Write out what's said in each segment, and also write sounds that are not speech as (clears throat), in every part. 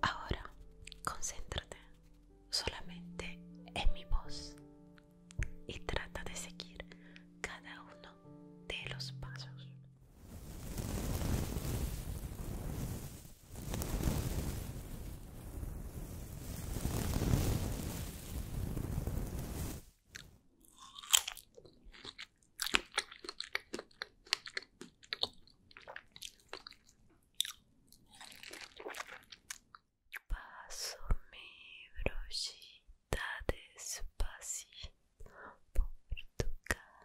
Ahora, concéntrate solamente en mi voz y trata de seguir cada uno de los pasos. Passo me brochita despacito por tu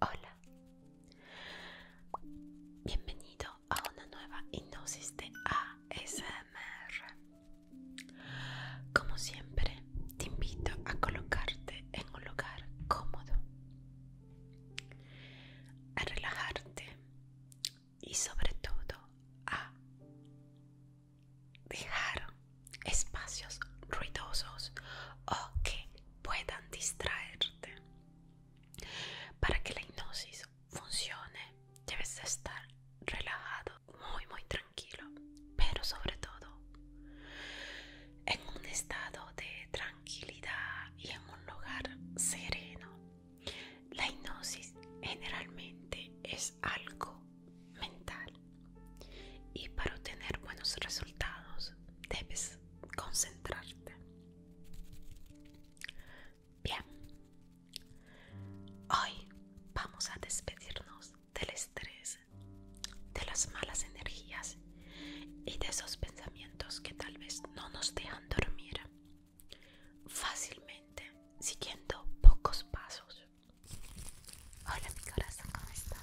Hola, bienvenido a una nueva hipnosis de ASMR. Como siempre, te invito a colocarte en un lugar cómodo, a relajarte y sobre todo a dejar espacios ruidosos o que puedan distraerte. Para que la hipnosis funcione, debes estar relajado, muy, muy tranquilo, pero sobre todo en un estado de tranquilidad y en un lugar sereno. La hipnosis generalmente es algo mental y para obtener buenos resultados debes concentrarte. Bien, hoy vamos a despedirnos del estrés, de las malas energías y de esos pensamientos que tal vez no nos dejan dormir fácilmente siguiendo pocos pasos. Hola mi corazón, ¿cómo está?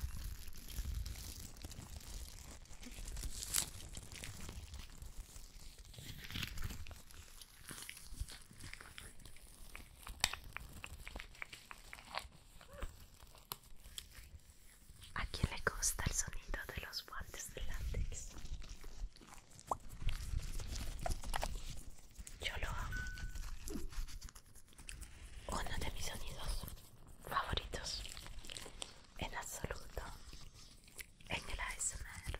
¿A quién le gusta el sonido de los guantes de látex? Yo lo amo uno de mis sonidos favoritos en absoluto en el ASMR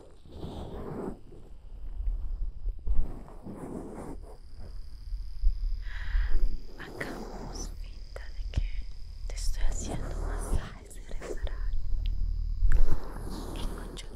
Hagamos finta de que te estoy haciendo masajes de reparar y conchute.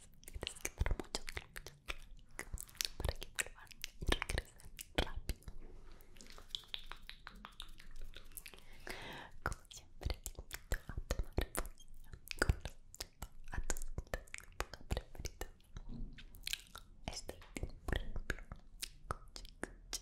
kita que dar muchos clics para que vuelvan y regresen rápido como siempre te invito a tomar con a tu época preferida estoy por ejemplo cuchi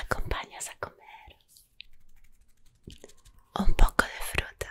acompañas a comer un poco de fruta.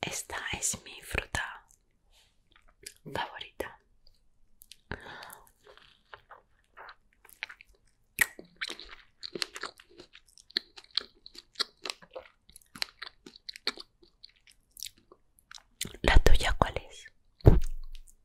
Esta es mi fruta favorita. ¿La tuya cuál es?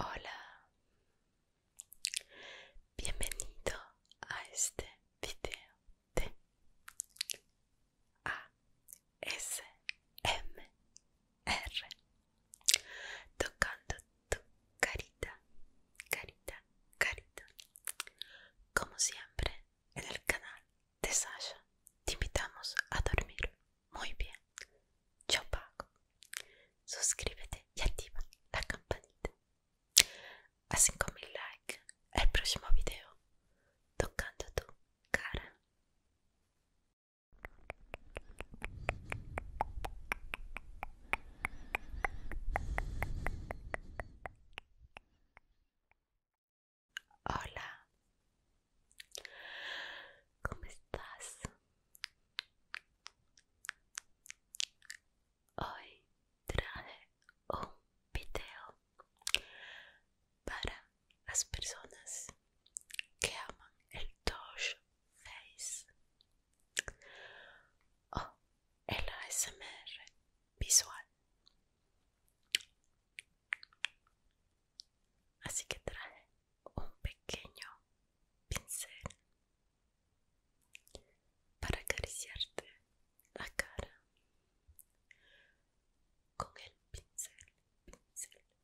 Hola, bienvenido a este video de S R tocando tu carita, carita, carita. Como siempre en el canal de Sasha te invitamos a dormir muy bien. Yo pago. Suscríbete y activa la campanita. A 5000 likes el próximo video tocando tu cara. Hola, ¿cómo estás? Hoy trae un video para las personas que aman el touch Face o el ASMR visual. Así que trae un pequeño pincel para acariciarte la cara con el pincel,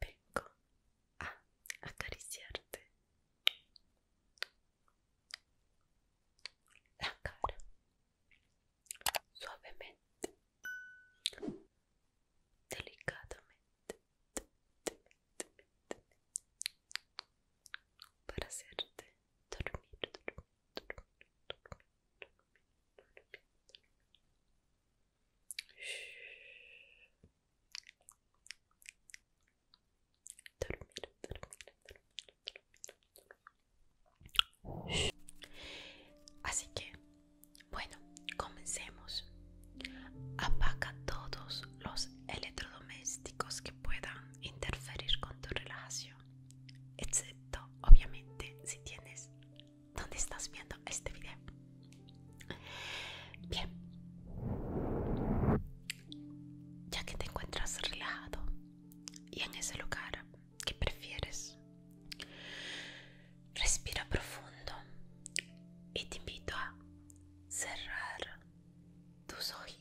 Vengo a acariciarte la cara suavemente, delicadamente, para hacerte dormir, dormir, dormir, dormir, dormir, dormir, dormir, dormir. Así que, bueno, comencemos. Dormir. todos los electrodomésticos pueda interferir con tu relación excepto obviamente si tienes donde estás viendo este video. Bien, ya que te encuentras relajado y en ese lugar que prefieres, respira profundo y te invito a cerrar tus ojos.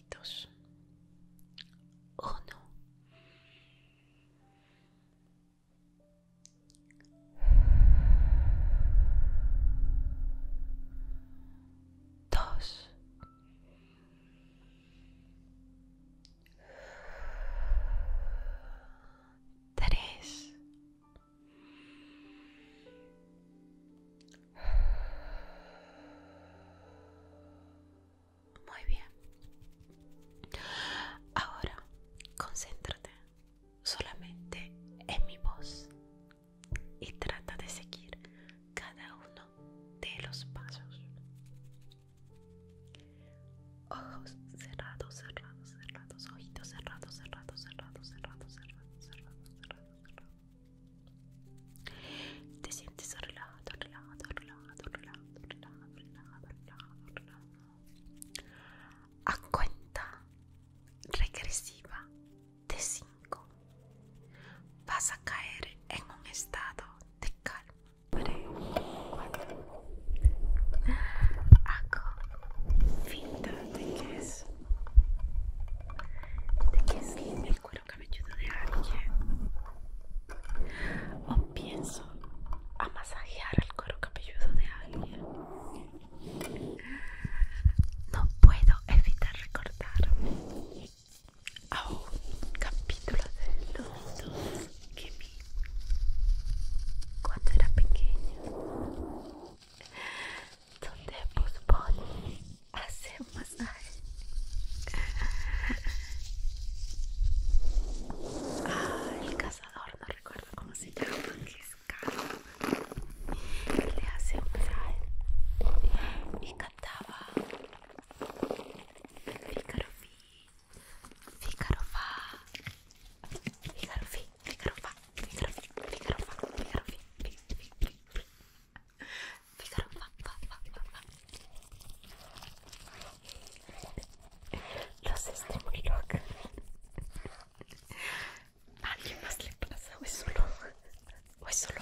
Oh Uno. Dos. Tres. Muy bien. Ahora, concéntrate solamente en mi voz y trata de seguir cada uno de los pasos. Ojos cerrados, cerrados, cerrados, ojitos cerrados, cerrados, cerrados, cerrados, cerrados, cerrados, cerrados, cerrados, te sientes relajado, A cuenta regresiva de 5 vas a caer en un estado de calma. de de que es cuero cabelludo de alguien o pienso a masajear el cuero cabelludo de alguien no puedo evitar recordar a un capítulo de los que vi cuando era pequeño. donde Bugs un masaje. Ah, el cazador, no recuerdo cómo se llama, que es Le hace un masaje y cantaba Fícaro Ficarofa Ficarofi, Ficarofa, Ficarofi, Ficarofa, Fa, los ¿A alguien más le pasa o es solo? ¿O es solo?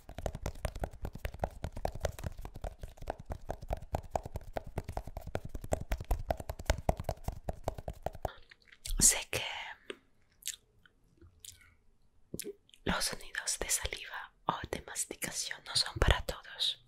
Sé que los sonidos de saliva o de masticación no son para todos.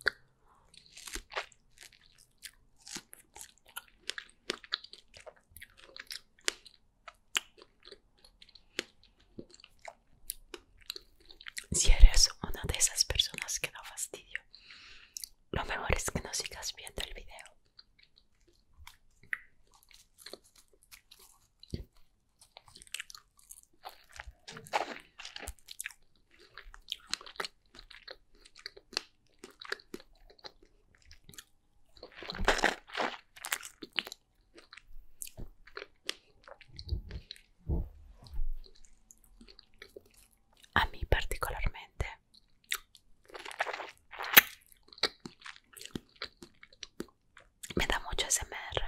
Si eres una de esas personas que no fastidio, lo mejor es que no sigas viendo el video. A mí particularmente me da mucho SMR.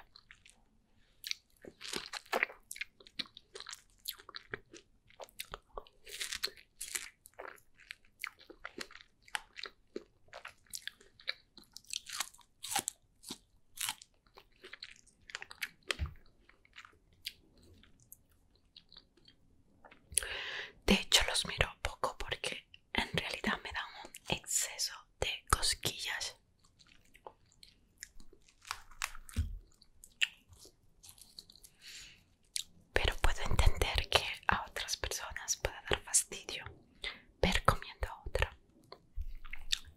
De hecho los miro poco porque en realidad me dan un exceso de cosquillas. Pero puedo entender que a otras personas pueda dar fastidio ver comiendo a otra.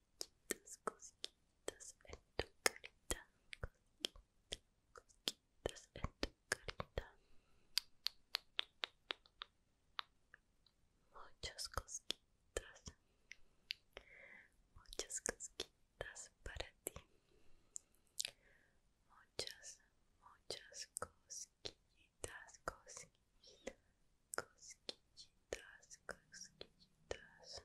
cosquitas cosquitas en tu carita, cosquillitas, en tu carita, muchas cosquitas muchas cosquitas para ti, muchas, muchas cosquillitas, cosquillitas. Cosquillitas, cosquillitas.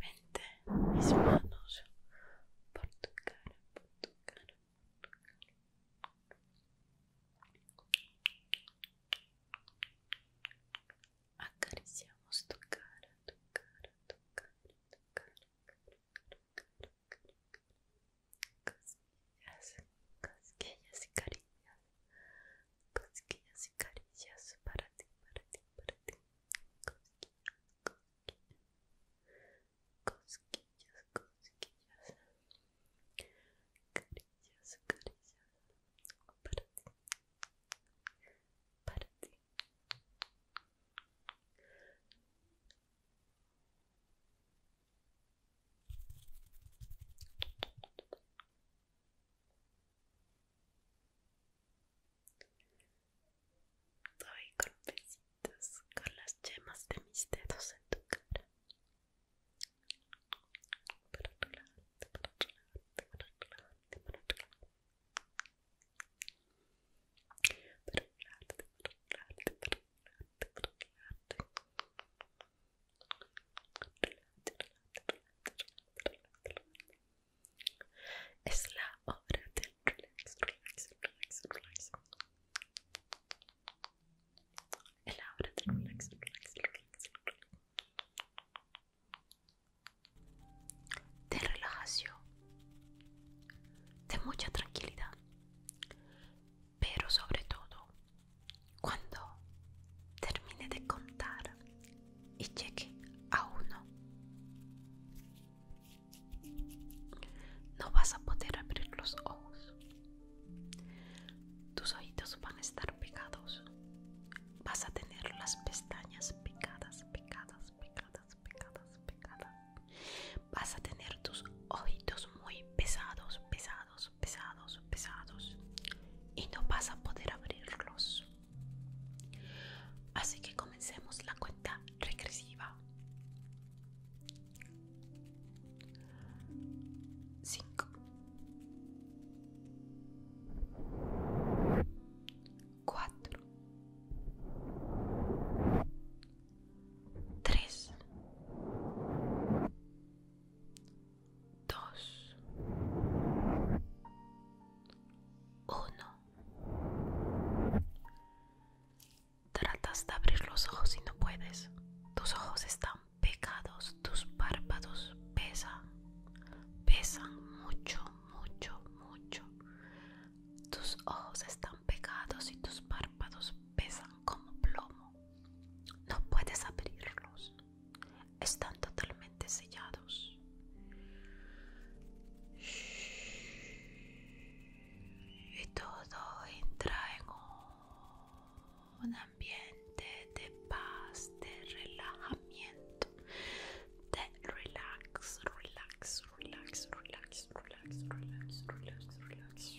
mente mis manos por tu cara, por tu cara, Acariciamos tu cara, y caricias, y caricias para ti, para ti, para ti cosquillas, cosquillas, carillas, carillas, para ti, Doy con besitos con las yemas de mis dedos en tu cara. Es la hora del relax, relax, relax, relax. la obra del relax, relax, relax, relax. De relajación, de mucha tranquilidad, pero sobre todo cuando termine de contar y cheque a uno no vas a poder abrir los ojos. Tus ojitos van a estar pegados. Vas a tener las pestañas pegadas, pegadas, pegadas, pegadas, pegadas. Vas a tener tus ojitos muy pesados, pesados, pesados, pesados. Y no vas a poder abrirlos. Así que comencemos la cuenta regressiva. Zinc. Quattro. Tres. Dos. Uno. Tratas de abrir los ojos y no puedes. Tus ojos están pegados, tus párpados pesan, pesan mucho, mucho, mucho. Tus ojos están pegados y tus párpados pesan como plomo. No puedes abrirlos. Están totalmente sellados y todo entra en un, ambiente de paz, de relajamiento, de relax, relax, relax, relax, relax, relax, relax, relax.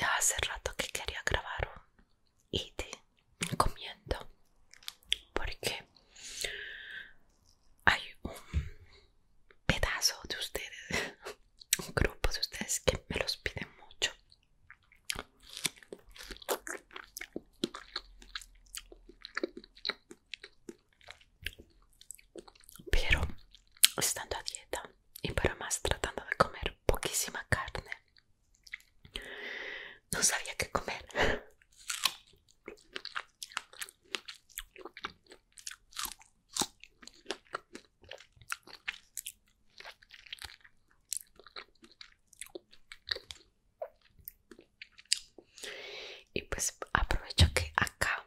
Ya hace rato que quería grabar y te comiendo porque hay un pedazo de ustedes, (laughs) un grupo de ustedes que me los piden mucho. Pero estando a dieta y para más tratando de comer poquísima carne, no sabía qué comer y pues aprovecho que acá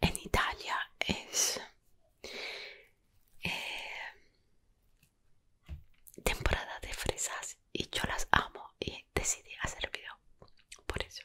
en Italia es eh, temporada de fresas y yo las amo y decidí hacer video por eso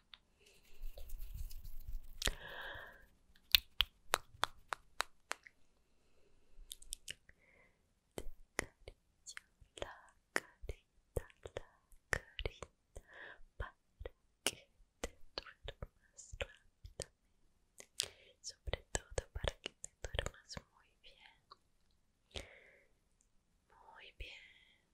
Te la carita, la carita para que te duermas rápidamente, sobre todo para que te duermas muy bien. Muy bien,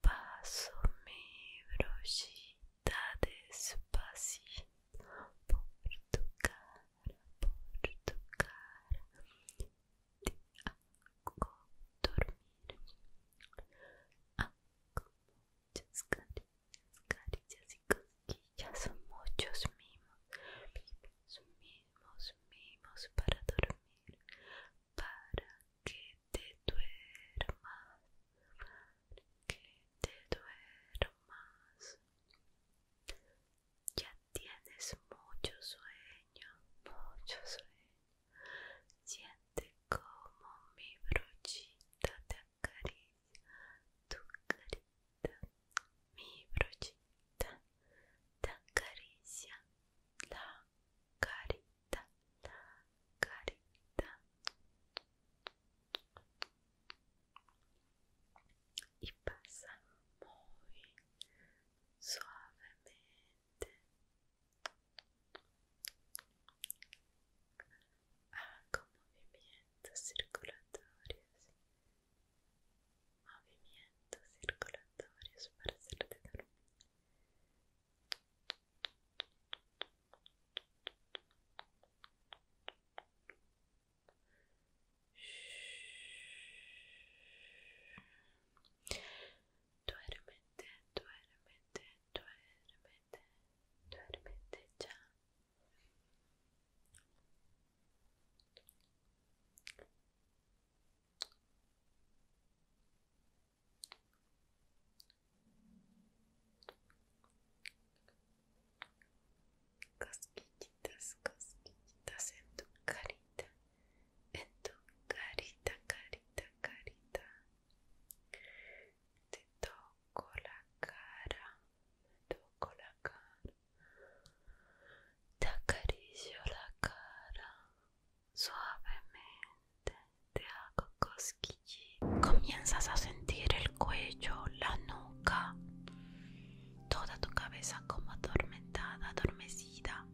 Paso mi brochita despacito por tu cara, por tu cara. Te hago dormir. Hago muchas caricias, caricias y cosquillas, muchos mimos, mimos, mimos. Mimos, mimos para dormir, para que te duermas, que te duermas. Ya tienes mucho sueño, mucho sueño. Siente como mi brochita te acaricia tu cariño mi brochita, te caricia, la carita, la carita. Y pasa muy suavemente hago movimientos circulatorios movimientos circulatorios para hacerte dormir. Duérmete, ya. Cosquillitas, cosquillitas en tu carita, en tu carita, carita, carita. Te toco la cara, toco la cara. Te acaricio la cara suavemente, te hago cosquillas. Comienzas a sentir el cuello, la nuca, toda tu cabeza como adormecida.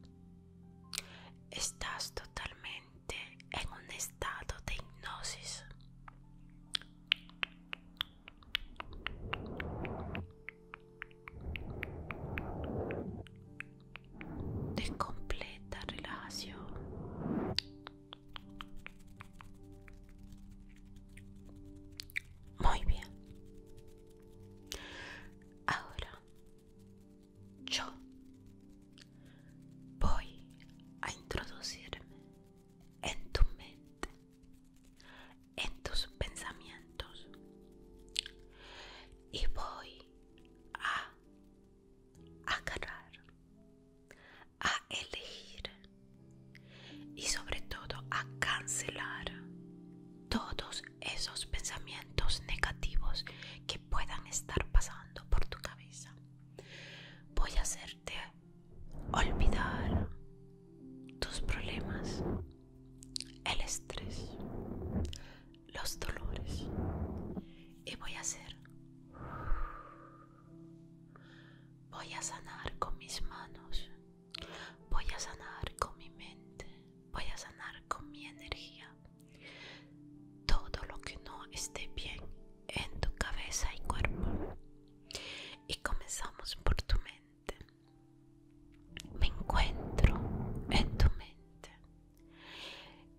Estás totalmente en un estado de hipnosis de completa relajación. Muy bien. Ahora yo voy a introducirme en tu mente, en tus pensamientos y voy a agarrar, a elegir y sobre todo a cancelar todos esos pensamientos negativos que puedan estar pasando por tu cabeza. Voy a hacerte olvidar tus problemas el estrés, los dolores y voy a hacer, voy a sanar con mis manos, voy a sanar con mi mente, voy a sanar con mi energía, todo lo que no esté bien en tu cabeza y cuerpo. Y comenzamos por tu mente me encuentro en tu mente.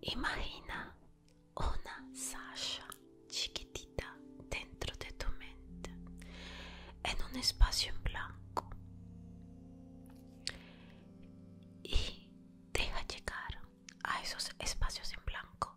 Imagina una Sasha chiquitita dentro de tu mente, en un espacio en blanco. Y deja llegar a esos espacios en blanco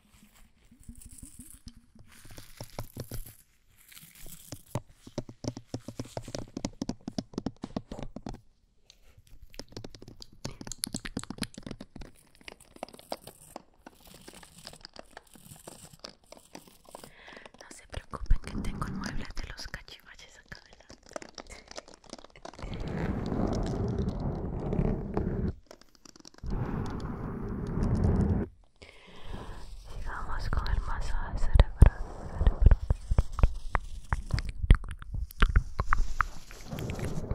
No se preocupen que tengo muebles de los cachivaches acá delante. Sigamos con el masaje cerebral. cerebral.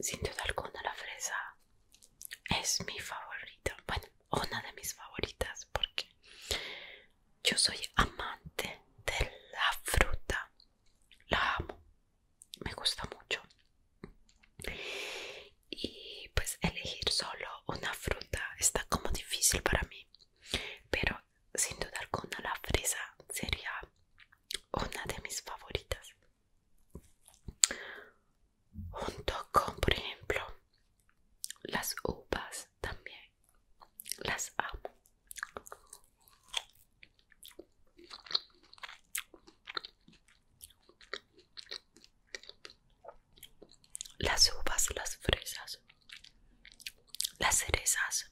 Sin duda alguna la fresa es mi favorita, bueno, una de mis favoritas porque yo soy amante de la fruta, la amo, me gusta mucho. Y pues elegir solo una fruta está como difícil para mí, pero sin duda alguna la fresa sería una de mis favoritas junto con por ejemplo las uvas también las amo las uvas las fresas las cerezas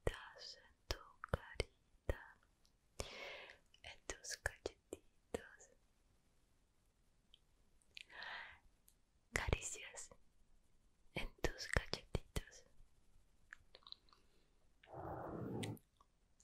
Estás en tu carita, en tus cachetitos, caricias en tus cachetitos.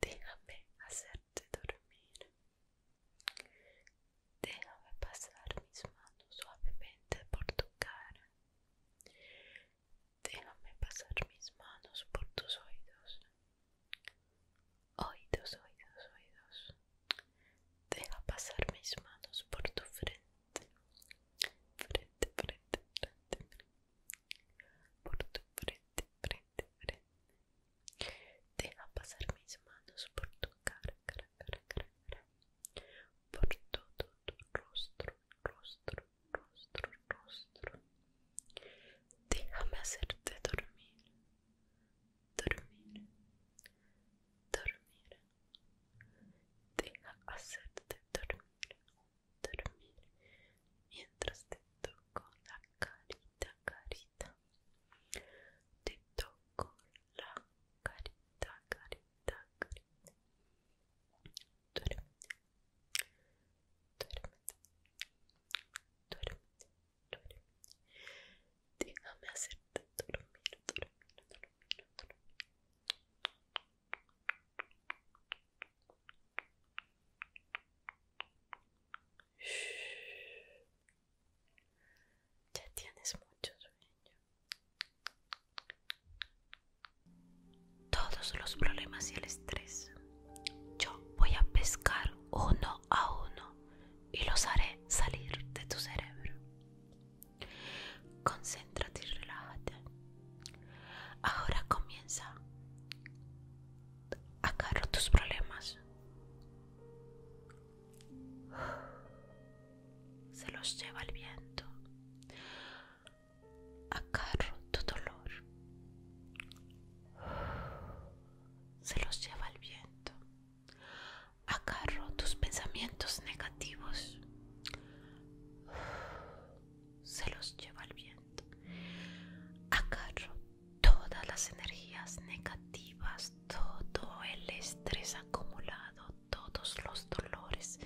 Déjame hacerte dormir. Déjame pasar mis manos suavemente por tu cara. Déjame pasar mis manos por tus oídos. Oídos, oídos, oídos. Déjame pasar mis manos por tu frente. Frente, frente, frente, frente. Por tu frente, frente frente, Deja pasar mis manos por tu cara, cara, cara, cara, Por todo tu rostro, rostro, rostro, rostro. Déjame hacerte dormir. Dormir. Dormir. Deja hacerte dormir dormir mientras te toco la carita, carita. Te toco la carita, carita, carita. Duérmete, duérmete, Déjame hacerte dormir, dormir, dormir, dormir. Ya tienes mucho Todos los problemas y el estrés. Yo voy a pescar uno a uno y los haré salir de tu cerebro. Concéntrate y relájate. Ahora comienza acarro tus problemas. Se los lleva el viento. Acarro tu dolor. Se los lleva el viento. Acarro tus pensamientos negativos. Se los lleva el viento. Acarro todas las energías negativas, todo el estrés acumulado, todos los dolores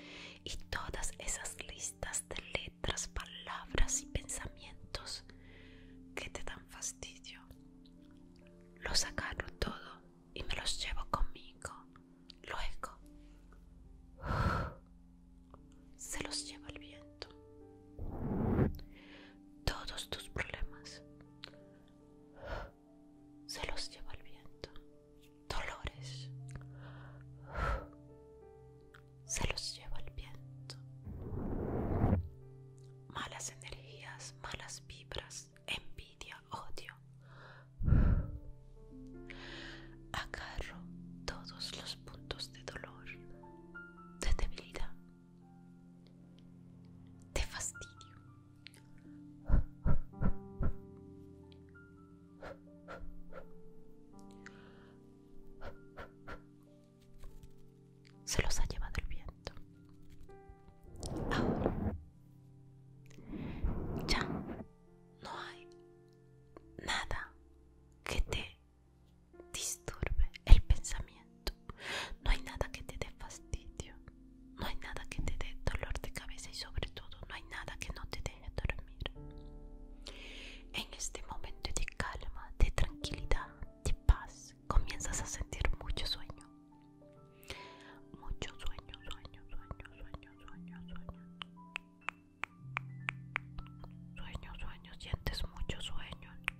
y todas esas listas de letras, palabras y pensamientos que te dan fastidio. Los agarro todo y me los llevo conmigo. Luego se los lleva el viento. Todos tus problemas se los lleva el viento. Dolores se los lleva el viento. Malas energías, malas vibras, envidia, odio. Agarro todos los puntos de dolor de debilidad, de fastidio. Se los ha llevado el viento. Ahora ya no hay nada que te disturbe el pensamiento. No hay nada que te dé fastidio, no hay nada que te dé dolor de cabeza y sobre todo no hay nada que no te deje dormir. En este momento de calma, de tranquilidad, de paz, comienzas a sentir mucho sueño. Mucho sueño, sueño, sueño, sueño, sueño, sueño. Sueño, sueño, sientes mucho sueño.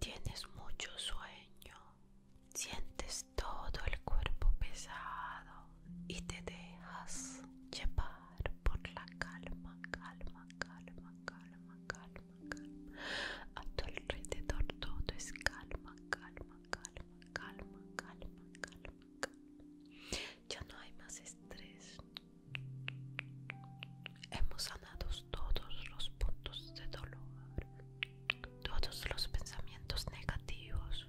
Tienes mucho sueño, sientes todo el cuerpo pesado y te dejas llevar por la calma, calma, calma, calma, calma. A tu alrededor todo es calma, calma, calma, calma, calma, calma, calma. Ya no hay más estrés. Hemos sanado todos los puntos de dolor, todos los pensamientos negativos.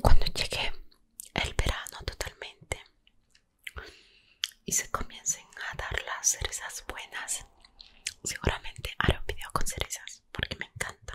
Cuando llegue el verano totalmente y se comiencen a dar las cerezas buenas, seguramente haré un video con cerezas porque me encanta.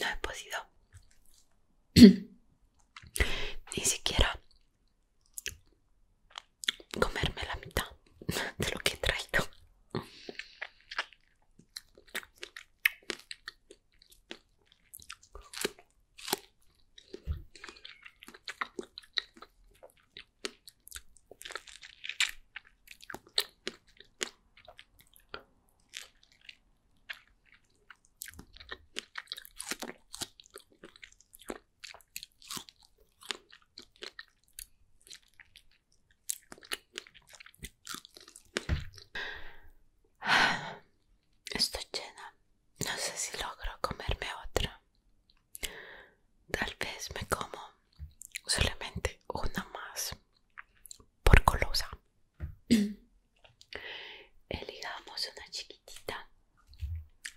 No he podido (clears throat) ni siquiera comerme la mitad de lo que he traído. (sighs) Estoy llena. No sé si logro comerme otra. Tal vez me como solamente una más por colosa (clears throat) una chiquitita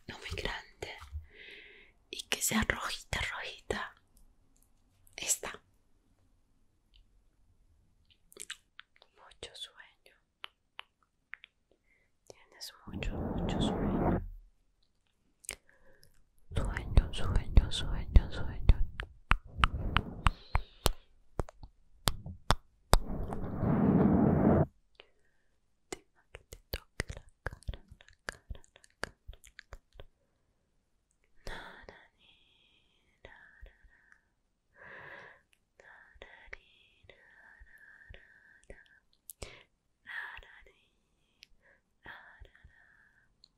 no muy grande y que sea rojita rojita esta mucho sueño tienes mucho mucho sueño Sueño, sueño, sueño, sueño. Te va que te toque la cara, la cara, la cara, la cara. Narani, narana. Narani, narana. Narani, narana.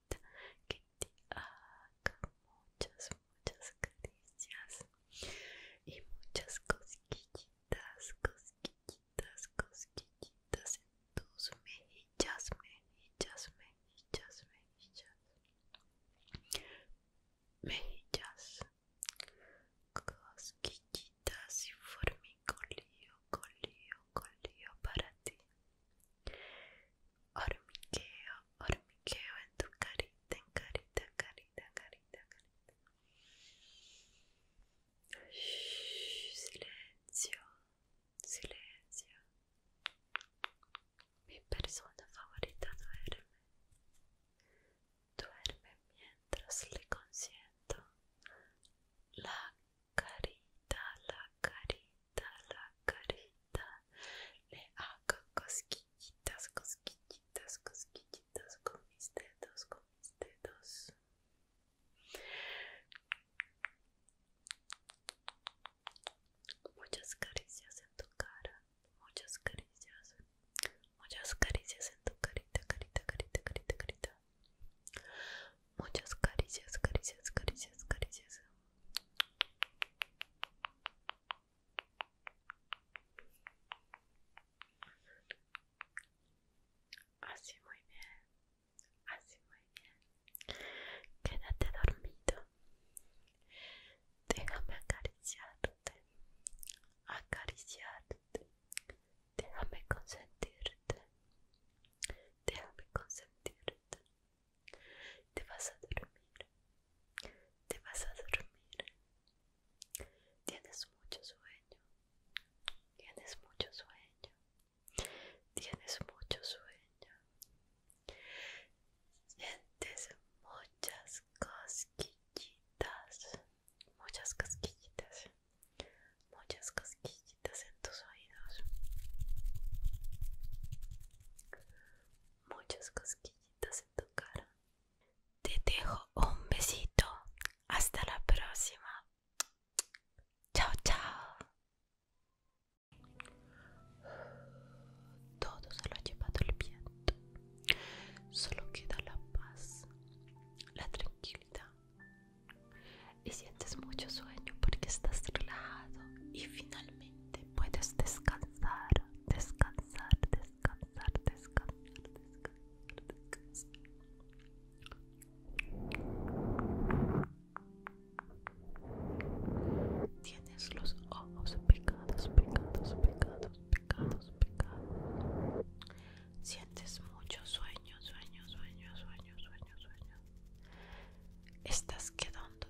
que te haga muchas, muchas caricias y muchas cosquillitas, cosquillitas, cosquillitas en tus mejillas, mejillas, mejillas, mejillas, mejillas, cosquillitas y formicolío, colío, colío para ti. Hormigueo, hormigueo en tu carita, en carita, carita, carita, carita. silencio, silencio. Mi persona favorita duerme. Duerme mientras le consiento la carita, la carita, la carita. Le hago cosquillitas, cosquillitas, cosquillitas con mis dedos, con mis dedos. Muchas caricias en tu cara, muchas caricias, muchas caricias en tu carita, carita, carita, carita, carita. Muchas caricias, caricias, caricias, caricias. Así muy bien, así muy bien. Quédate dormido. Déjame acariciarte, acariciarte. Déjame consentirte, déjame consentirte. Te vas a dormir. Te vas a dormir. Tienes mucho sueño. Tienes mucho sueño. Tienes mucho sueño. Sientes muchas cosquillitas. Muchas cosquillitas. Muchas cosquillitas en tus oídos. Muchas cosquillitas en tu cara. Te dejo un besito. Hasta la próxima. Chao, chao. Todo se lo ha llevado el viento. Solo queda la paz, la tranquilidad. Y sientes mucho sueño porque estás relajado y finalmente te puedes descansar, descansar, descansar, descansar, descansar, descansar. Tienes los ojos pecados, picados, pecados, pecados, pecados. Sientes mucho sueño, sueño, sueño, sueño, sueño, sueño. Estás quedando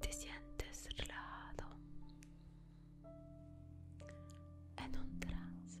ti sientes relajado en un trance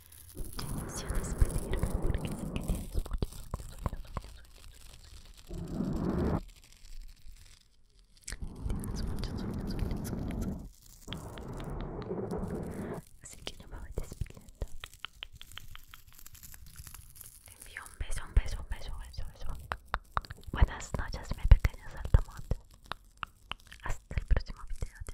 Ya a despedirme porque sé que tienes muchos sueños, Tienes muchos sueños, sueños, Así que yo me voy despidiendo. Te un beso, un beso, un beso, Buenas noches, mi pequeño saltamontes. Hasta el próximo video de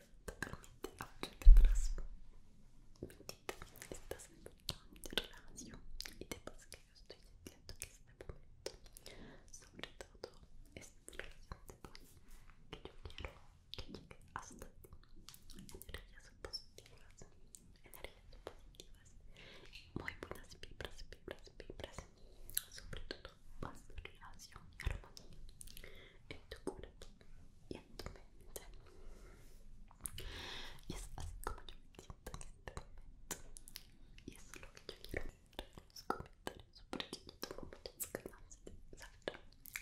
totalmente ahora mentira atrasco mentita, estás en total relajación y te pasa que yo estoy diciendo que este momento sobre todo es relación de paz que yo quiero que llegue hasta ti energías positivas energías positivas muy buenas vibras, vibras, vibras sobre todo la paz, y armonía en tu y en tu mente y es así como yo me siento en este momento y es lo que yo quiero en los comentarios porque muchas de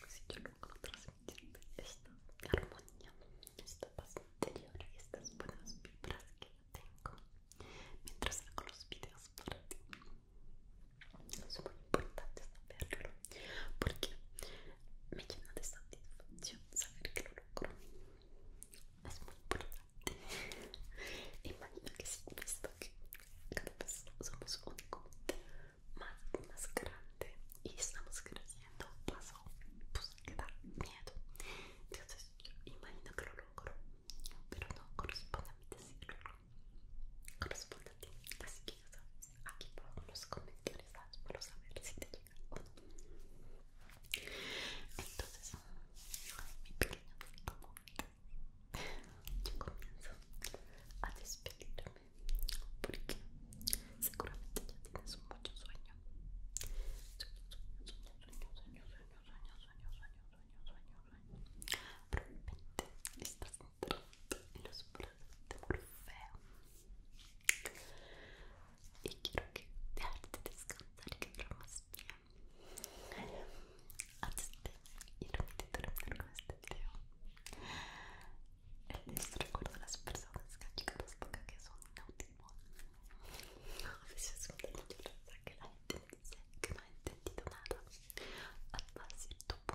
si yo esta armonía esta interior estas buenas vibras que tengo mientras hago los videos para ti es muy importante saberlo porque me llena de satisfacción saber que lo logro es muy importante imagino que si visto que cada vez somos un comité más, más grande y estamos creciendo paso pues que da miedo entonces imagina imagino que lo logro pero no corresponde a mí decirlo corresponde a ti. Así que ya sabes, aquí pongo los comentarios para saber si te llega o no. Entonces, mi pequeño como yo comienzo a despedirme porque seguramente ya tienes mucho sueño. Sueño, sueño, sueño, sueño, sueño, sueño, sueño, sueño, sueño, sueño, sueño los brazos de feo y quiero que hagas descansar y que bien y que con este video el este recuerdo las personas que esta que son a veces no. que la gente que ha entendido nada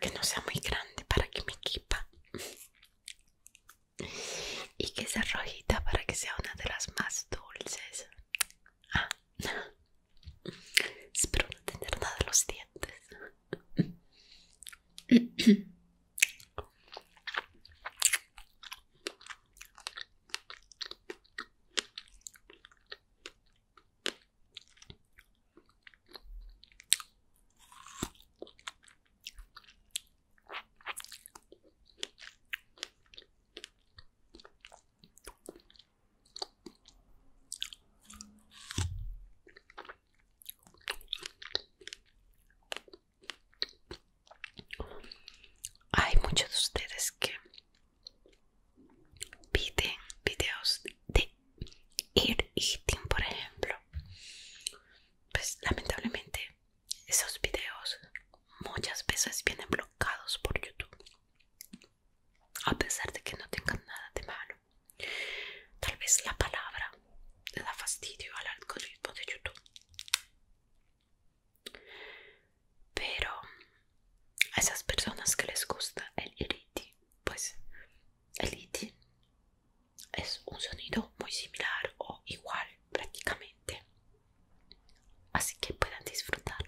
que no sea muy grande para que me equipa y que sea rojita para que sea una de las más dulces ah. (laughs) espero no tener nada los dientes hay muchos de ustedes que piden videos de ir eating, por ejemplo, pues lamentablemente esos videos muchas veces vienen bloqueados por YouTube, a pesar de que no tengan nada de malo. Tal vez la palabra le da fastidio al algoritmo de YouTube. Pero a esas personas que les gusta el iriti pues el itin es un sonido muy similar o igual prácticamente así que puedan disfrutarlos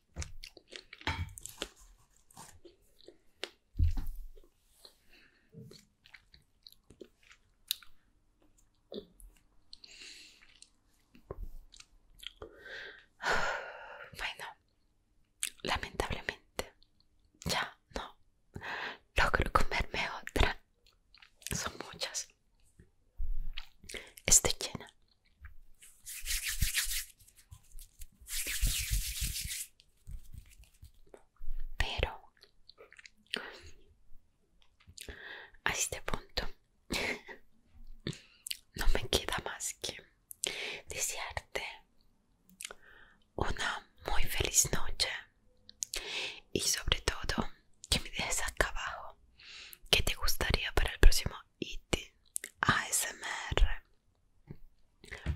(sighs) Bueno, lamentablemente ya no logro comerme otra. Son muchas. Estoy llena. Pero a este punto (laughs) no me queda más que desearte una muy feliz noche y sobre todo que me dejes acá abajo qué te gustaría para el próximo IT ASMR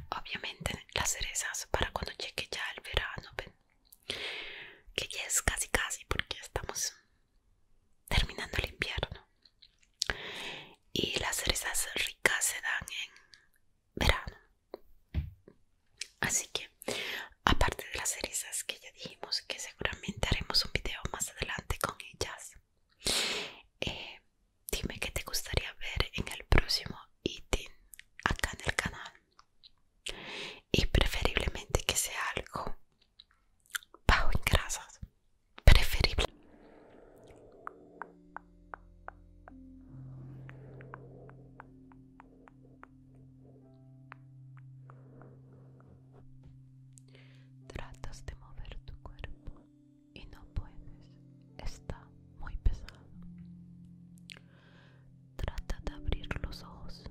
obviamente las cerezas para cuando llegue ya el verano que ya es casi casi porque estamos terminando el invierno y las cerezas ricas se dan en verano así que aparte de las cerezas que ya dijimos que seguramente haremos un video más adelante con ellas eh, dime qué te gustaría ver en el próximo eating acá en el canal y preferiblemente que sea algo bajo en grasas preferible tratas de mover tu cuerpo y no puedes, está muy pesado. Trata de abrir los ojos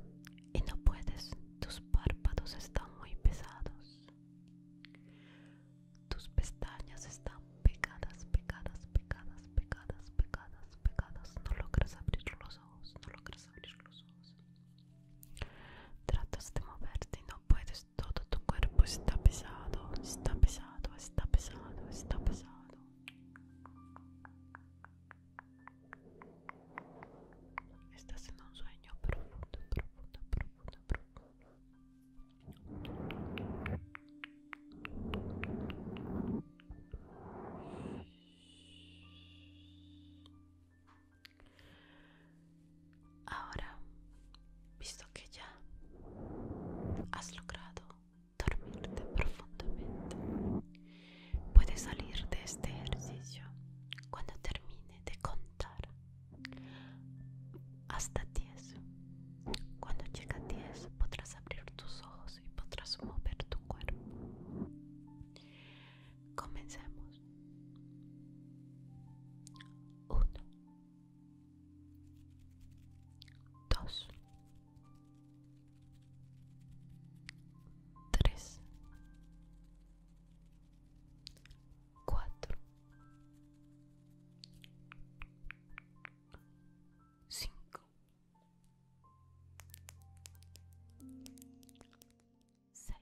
y no puedes, tus párpados están muy pesados. Tus pestañas están pegadas, pegadas, pegadas, pegadas, pegadas, pegadas. No logras abrir los ojos, no logras abrir los ojos. Tratas de moverte y no puedes, todo tu cuerpo está pesado, está pesado, está pesado, está pesado. Estás en un sueño profundo, profundo, profundo, profundo. Ahora, visto que ya has logrado dormirte profundamente, puedes salir de este ejercicio cuando termine de contar hasta 10. Cuando llegue a 10 podrás abrir tus ojos y podrás mover tu cuerpo. Comencemos. 1 2, 3, 4, 5, 6.